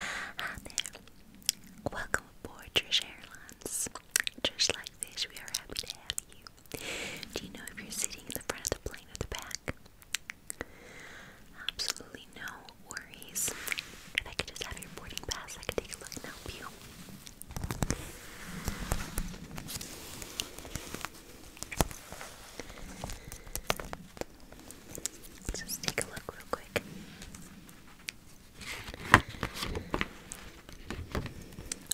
Hi ah, there. Welcome aboard Trish Airlines. Just like this, we are happy to have you. Do you know if you're sitting in the front of the plane or the back? Absolutely no worries. If I could just have your boarding pass, I could take a look and help you. Let's just take a look real quick.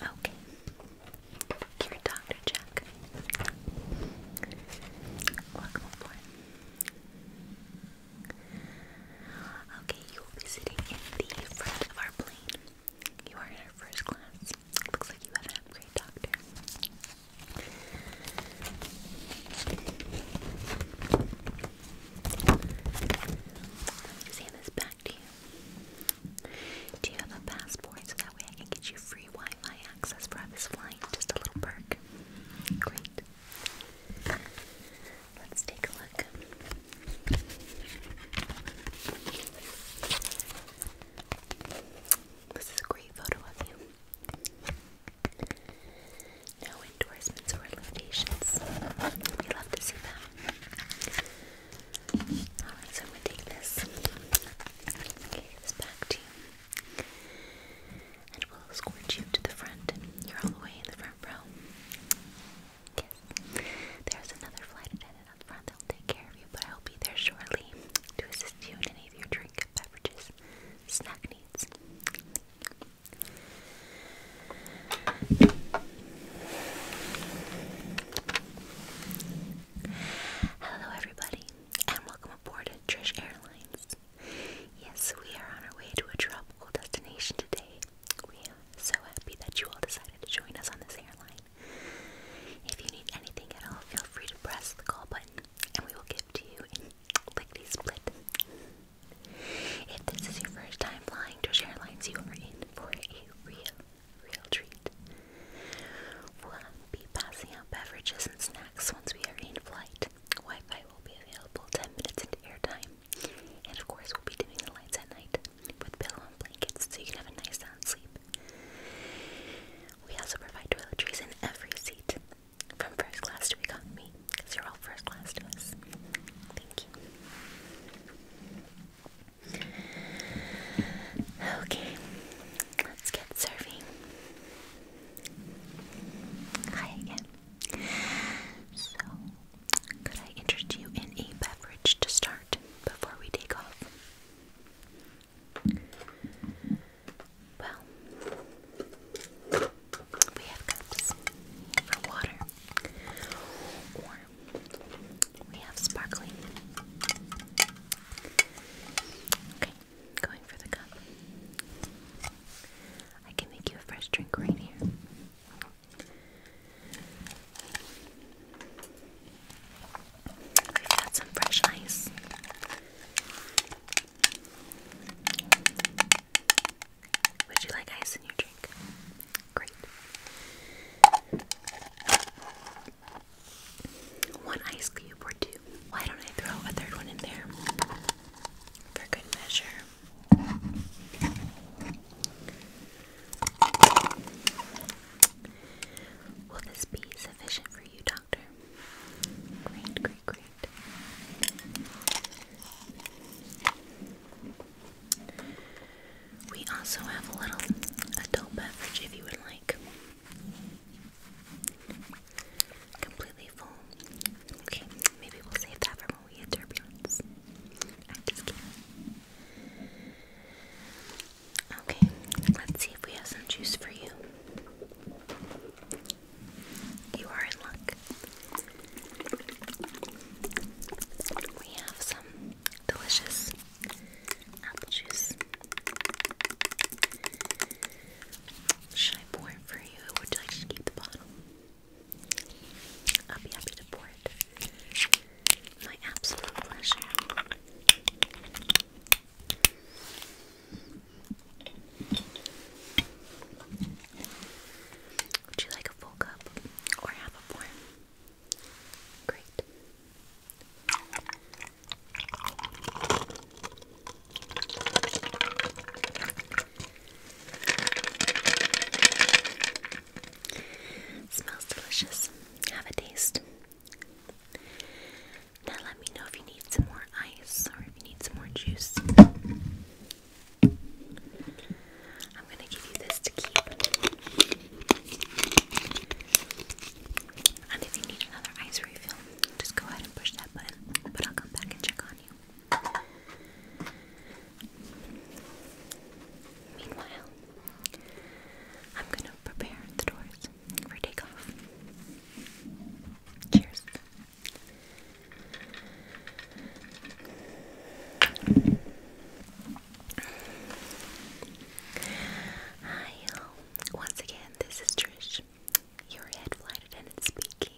Okay. you Dr. Jack. Welcome aboard. Okay, you will be sitting in the front of our plane. You are in our first class. Looks like you have an upgrade, Doctor. Sam is back to you. Do you have a passport so that way I can get you free Wi-Fi access for this flight? Just a little perk. Great. Let's take a look. This is a great photo of you. No endorsements or limitations. We love to see that. Alright, so I'm gonna take this. Okay, this back to you. And we'll escort you to the front. You're all the way in the front row. Yes. There's another flight attendant up front that'll take care of you, but I'll be there shortly to assist you in any of your drink, beverages, snack needs. Hello, everybody, and welcome aboard Trish Airlines. Yes, we are on our way to a tropical destination today. We are so happy that you all decided to join us on this airline. If you need anything at all, feel free to press the call button and we will give to you in lickety split. If this is your first time flying Josh Airlines, you are in for a real, real treat. We'll be passing out beverages and snacks once we are in flight. Wi-Fi will be available 10 minutes into airtime. And of course, we'll be dimming the lights at night with pillow and blankets so you can have a nice sound sleep. We also provide toiletries in every seat. From first class to economy, because you're all first class to us. Thank you. Okay, let's get serving. Hi again. So, could I interest you in a beverage to start before we take off? Well, we have cups for water, or we have sparkling. Okay, going for the cup. I can make you a fresh drink right here. got some fresh ice. Would you like ice in your drink? Great. One ice cube or two. Why don't I throw a third one in there? For good measure. Will this be sufficient for you, Doctor? Great, great, great. We also have a little adult beverage if you would like. Completely full. Okay, maybe we'll save that for when we turbulence. I'm just kidding. Okay, let's see if we have some juice for you. You are in luck. We have some delicious apple juice. Should I pour it for you? Or would you like to keep the bottle? I'll be happy to pour it. My absolute pleasure. Would you like a full cup or half a pour? Great. Smells delicious. Have a taste. Now let me know if you need some more more ice or if you need some more juice. I'm going to give you this to keep. And if you need another ice refill, just go ahead and push that button, but I'll come back and check on you. Meanwhile, I'm going to prepare the doors for takeoff. Cheers. Hi, Once again, this is Trish, your head flight speaking.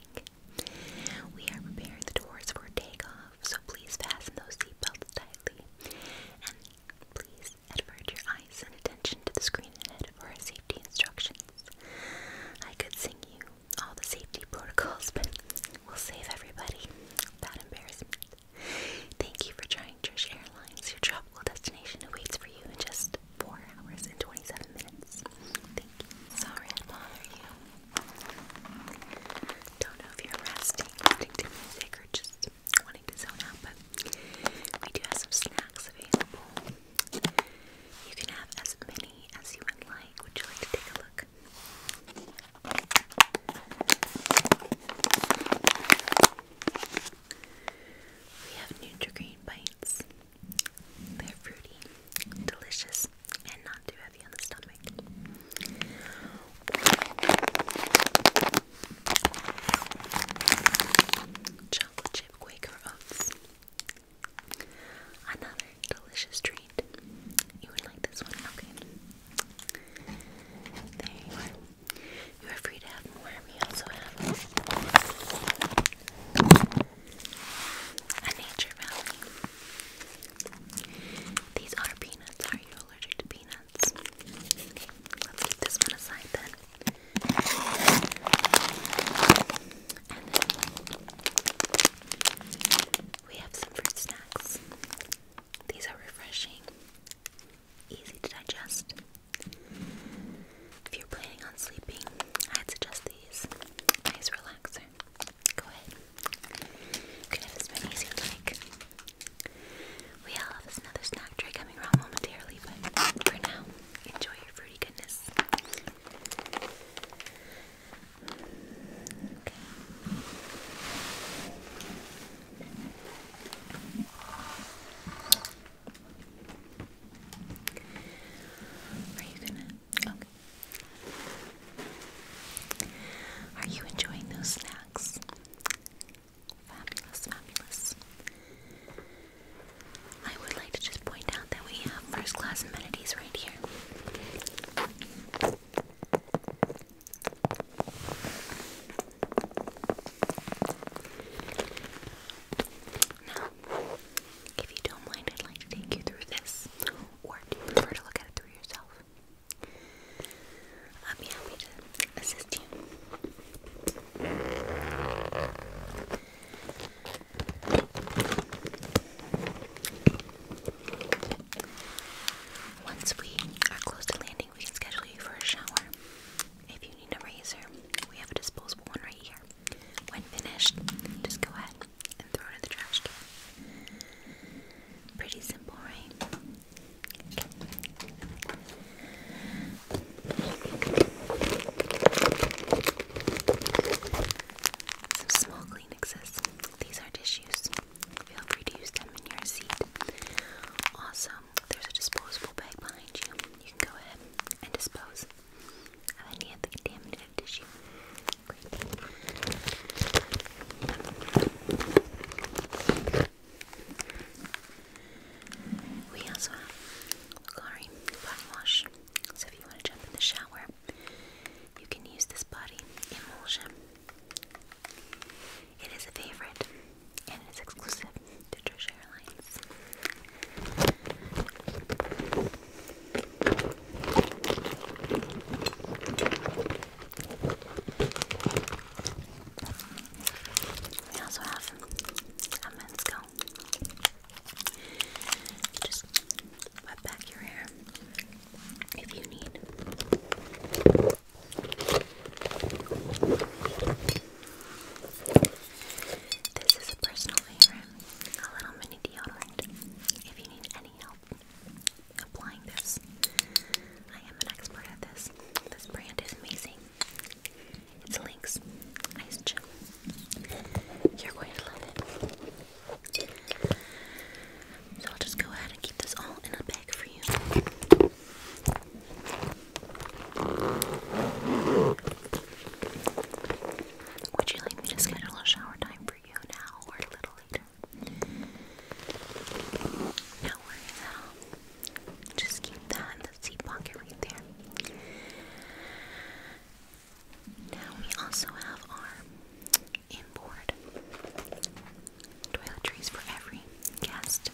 We are preparing the doors for takeoff, so please fasten those seatbelts tightly. And please advert your eyes and attention to the screen ahead for safety instructions. I could sing you all the safety protocols, but we'll save everybody that embarrassment. Thank you for trying Trish Airlines. Your tropical destination awaits for you in just 4 hours and 27 minutes. Thank you. Sorry to bother you. Don't know if you're resting, listening to or just wanting to zone out, but we do have some snacks available. You can have as many as you would like. Would you like to take a look? We have nutri bites. They're fruity, delicious, and not too heavy on the stomach. Chocolate chip Quaker oats. Another delicious treat. You would like this one? Okay. There you are. You are free to have more. We also have a nature valley. These are peanuts. Are you allergic to peanuts? let's keep this one aside then we have some fruit snacks. These are refreshing, easy to digest. If you're planning on sleeping, I'd suggest these. Nice relaxer. Go ahead. You can have as many as you We all have another snack tray coming around momentarily, but for now, enjoy your fruity are you gonna? Okay. Are you enjoying those snacks? Fabulous, fabulous. I would like to just point out that we have first class amenities right here. Now, if you don't mind, I'd like to take you through this, or do you prefer to look at it through yourself? I'll be happy assist you. Once we are close to landing, we can schedule you for a shower. If you need a razor, we have a disposable one right here. When finished, just go ahead and throw it in the trash can. Pretty simple, right? Okay. Some small Kleenexes. These are tissues. Feel free to use them in your seat. Awesome. there's a disposable bag behind you. You can go ahead and dispose of any of the tissue. We also have Lagari body wash. So if you want to jump in the shower, you can use this body emulsion. It is a favorite and it is exclusive to Treasure Airlines. We also have a men's go just wet back your hair if you need. This is a personal favorite, a little mini deodorant. If you need any help applying this, I am an expert at this. This brand is amazing. It's Lynx Ice Gel. You're going to love it. So I'll just go ahead and keep this all in a bag for you. Would you like me to schedule a shower time for you now or a little later? No worries at all. Just keep that in the seat pocket right there. Now we also have our inboard toiletries for every guest.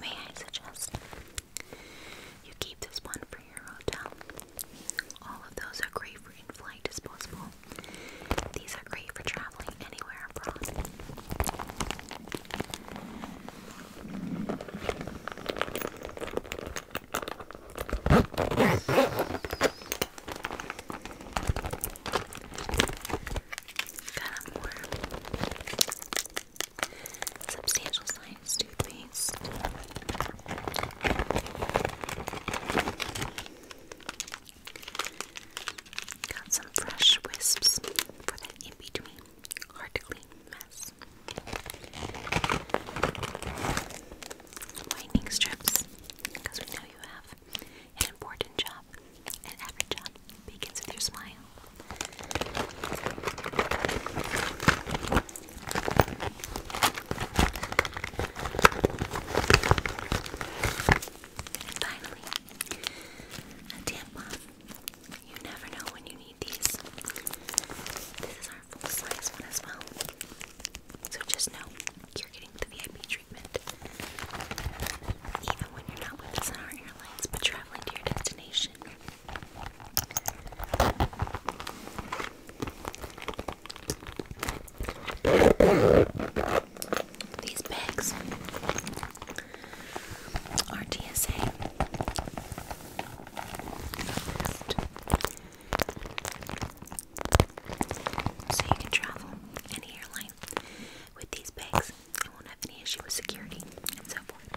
May I suggest you keep this one for your hotel? All of those are great for in flight disposable these are great for traveling anywhere abroad. Got more substantial science toothpaste. Got some fresh wisps for that in between. Hard mess. Whitening strips, because we know you have an important job, an average job begins with your smile. And finally, a tampon. You never know when you need these. This is our full size one as well. So just know you're getting the VIP treatment. Even when you're not with us on our airlines, but traveling to your destination. These bags are TSA. So you can travel any airline with these bags. I won't have any issue with security and so forth.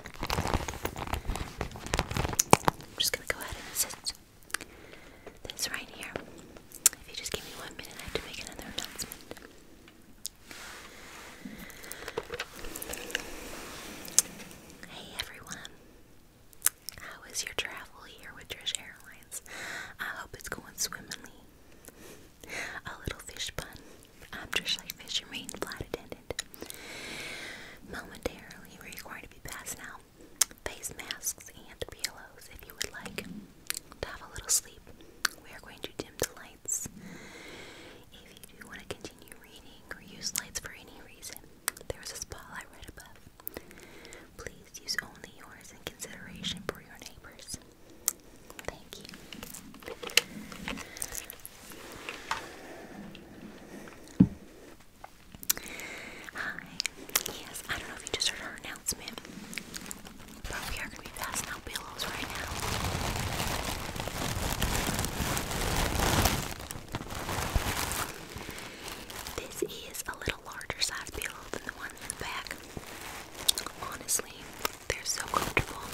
I'm just gonna go ahead and sit this right here. If you just give me one minute, I have to make another announcement. Hey everyone, how is your travel here with Trish Airlines? I hope it's going swimmingly. A little fish pun. I'm Trish Lake Fish, your main flight attendant. Momentarily, we're required to be passed out. Face masks and pillows if you would like to have a little sleep, we are going to dim the lights. If you do want to continue reading or use lights for any reason, there is a spotlight right above. Please use only yours in consideration for your neighbors. Thank you. Hi, Yes, I don't know if you just heard her announcement, but we are going to be passing out pillows right now. This is a little larger size pillow than the one in the back. Honestly, they're so comfortable.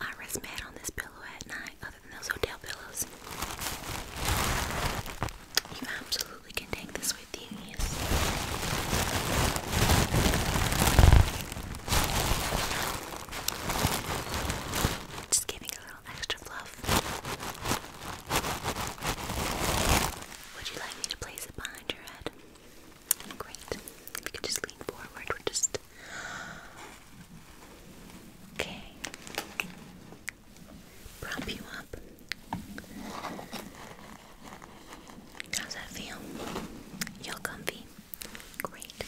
I rest mad on this pillow at night, other than those hotel pillows. You absolutely we can take this with you, yes. Just giving a little extra fluff. Would you like me to place it behind your head? Great. If you just lean forward, just. Okay. Prop you up. How's that feel? You're comfy. Great.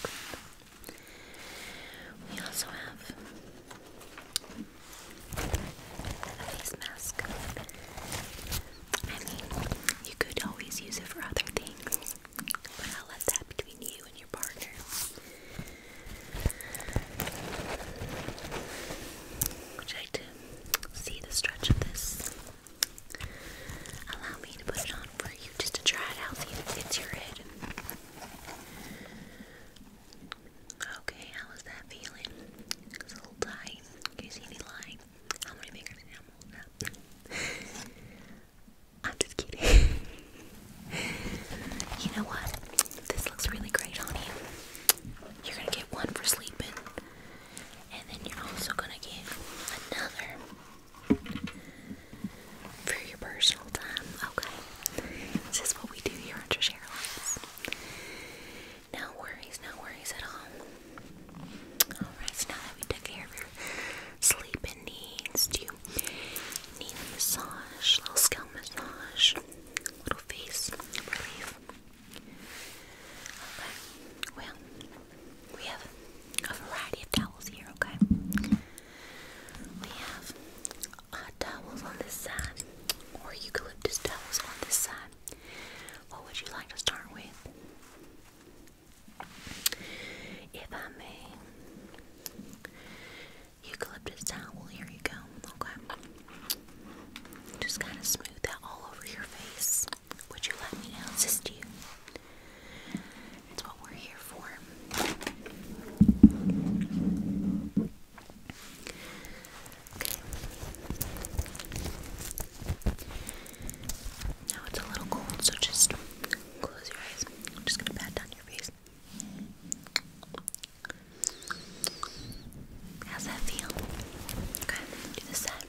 We also have a face mask. I mean, you could always use it for other things, but I'll let that between you and your partner. Would you like see the stretch of this. Allow me to put it on for you just to try it out, see if it fits your head. Okay, how is that feeling? It's a little tight. Can you see any line? How many fingers I'm just kidding. you know what? This looks really great on you. You're gonna get one for sleeping, and then you're also gonna get another for your personal time. Okay, this is what we do here on Trish Airlines. No worries, no worries at all. Alright, so now we took care of your sleeping needs, do you need a massage, little scalp massage, little face relief? Okay, well, we have a variety of towels here, okay? We have towels on this side or eucalyptus towels on this side. What would you like to start with? If I may, eucalyptus towel, here you go, okay? Just kind of smooth that all over your face. Would you let me assist you? It's what we're here for. Now it's a little cold, so just close your eyes. I'm just gonna pat down your face. How's that feel? Okay, do the side.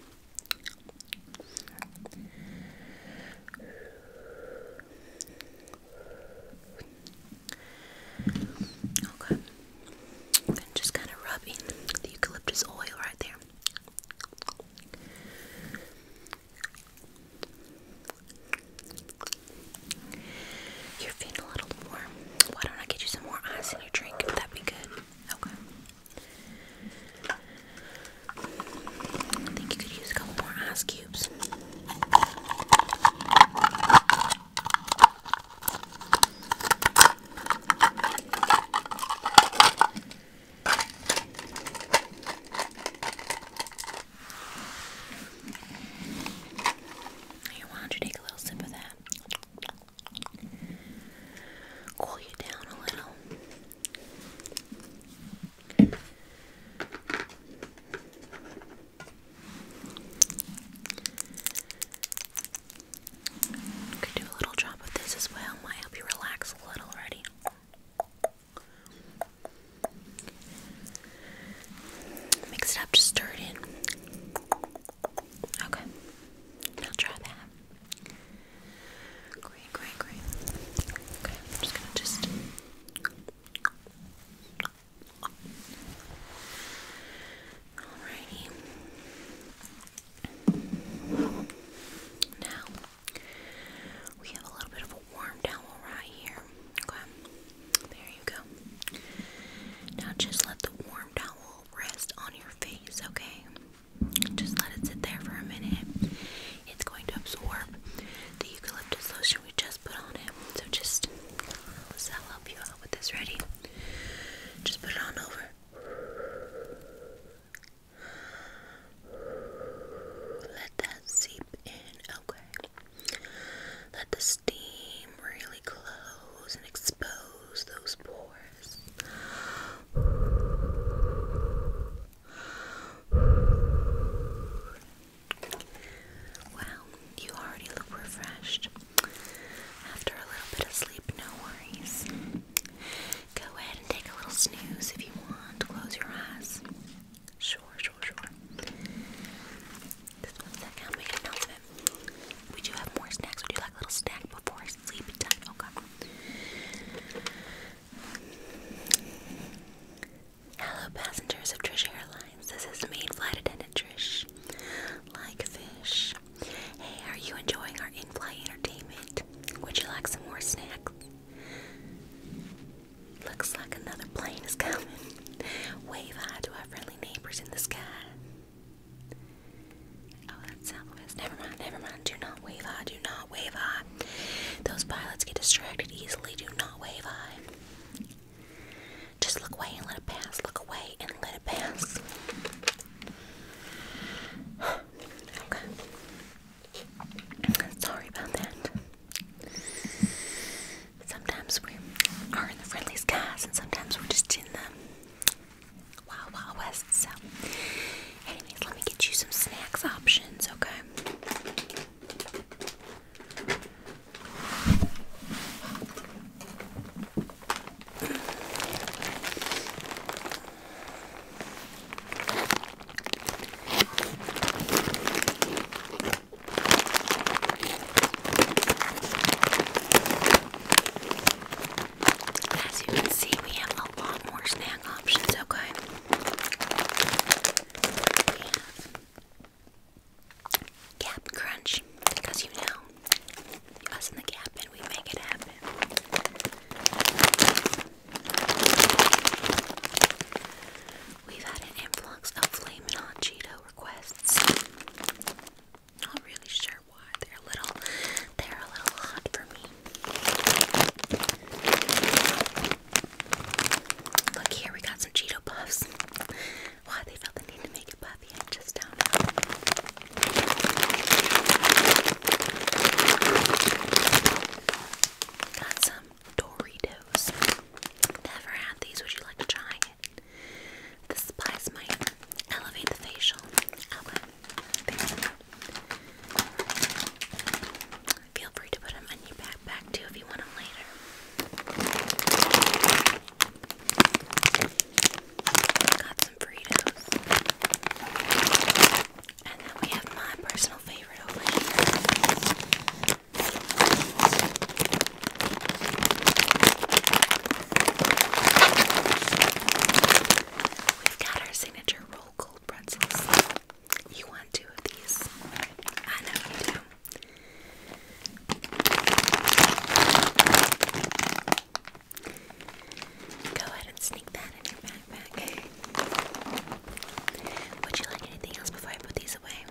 Okay. And just kind of rub the eucalyptus oil right there. You're feeling a little warm. Why don't I get you some more ice in your drink? That'd be good. Okay. I think you could use a couple more ice cubes. why don't you take a little sip of that? cool you down a little. Could do a little job of this as well. Might help you relax a little already. Mix it up, stir it in. Okay, I'll try that. Great, great, great. Okay, I'm just gonna just. Alrighty. Now we have a little bit of a warm towel right here. there you go. Now just let the warm towel rest on your face, okay? Just let it sit there for a minute. It's going to absorb the eucalyptus lotion we just put on it. So just, let's help you out with this. Ready? Just put it on over. Let that seep in. Okay. Let the steam really close and expose close those pores. Wow, you already look refreshed. After a little bit of sleep, no worries. Go ahead and take a little snooze if you want. Close your eyes. Sure, sure, sure. one second, I'll make a note of it. We have more snacks. Would you like a little snack before sleep time? Okay. Hello, passengers of Trish Airlines. This is main flight attendant Trish. Like fish. Hey, are you enjoying our in-flight entertainment? Would you like some more snacks? Looks like another plane is coming. Wave hi to our friendly neighbors in the sky. Oh, that's Southwest. Never mind, never mind. Do not wave eye. Do not wave eye. Those pilots get distracted easily. Do not wave I. Just look away and let it pass. Look away and let it pass. okay. Sorry about that. Sometimes we are in the friendly skies, and sometimes we're just in the Wow Wow West. So, anyways, let me get you some snacks options, okay? As you can see, we have a lot more snack options, okay? Cap Crunch, because you know, us in the Cap and we make it happen. We've had an influx of Flamin' Hot Cheeto requests. Not really sure why. They're a little they're a little hot for me. Look here, we got some Cheeto puffs. Why they felt the need to make it puffy, I just don't know. Got some Doritos. Never had these. Would you like to try? The supplies might elevate the facial. Okay, there we go. Feel free to put them in your backpack too if you want them later. Got some Fritos. And then we have my personal favorite over We've got our signature roll cold pretzels. You want two of these? I know you do. Go ahead and sneak that in your backpack. Would you like anything else before I put these away?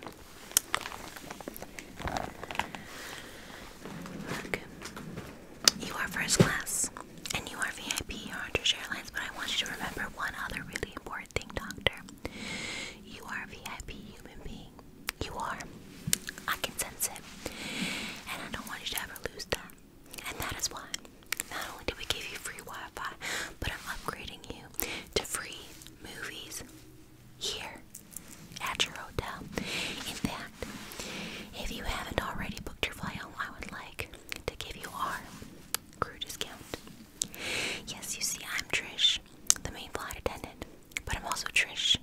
you are first class and you are VIP, you're on British Airlines, but I want you to remember one other really important thing, Doctor. You are a VIP human being. You are. I can sense it. And I don't want you to ever lose that. And that is why not only do we give you free Wi Fi, but I'm upgrading you to free movies here at your hotel. In fact, if you haven't already booked your flight I would like to give you our crew discount. Yes, you see, I'm Trish, the main flight attendant, but I'm also Trish.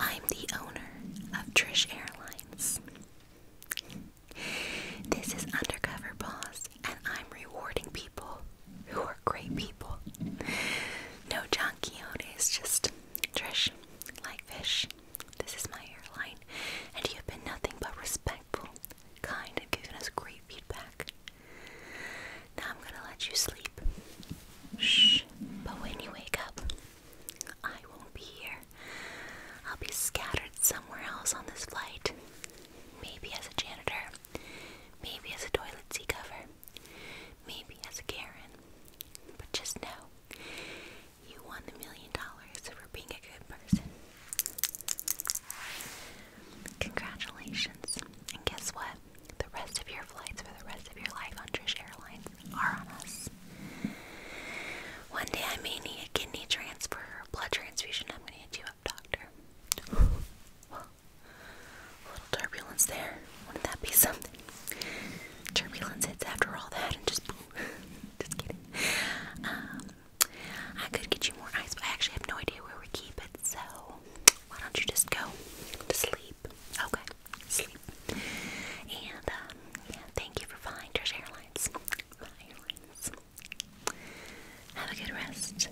I'm the owner of Trish Airlines. This is Undercover Boss, and I'm rewarding people who are great people. No job Don is just Trish, like fish. This is my airline, and you have been nothing but respectful, kind, and given us great feedback. Now I'm gonna let you sleep. Shh. But when you wake up, I won't be here. I'll be scattered somewhere else on this flight. Maybe as a janitor, maybe as a toilet seat cover, maybe as a Karen, but just know you won the million dollars for being a good person. Congratulations, and guess what? The rest of your flights for the rest of your life on Trish Airlines are on us. One day I may need a kidney transfer or blood transfusion. I'm gonna hit you up, doctor. little turbulence there. Wouldn't that be something? Turbulence hits after all that and just just kidding. Um, I could get you more ice, but I actually have no idea where we keep it, so why don't you just go to sleep? Okay, sleep. And, um, yeah, thank you for flying Trish airlines. Have a good rest.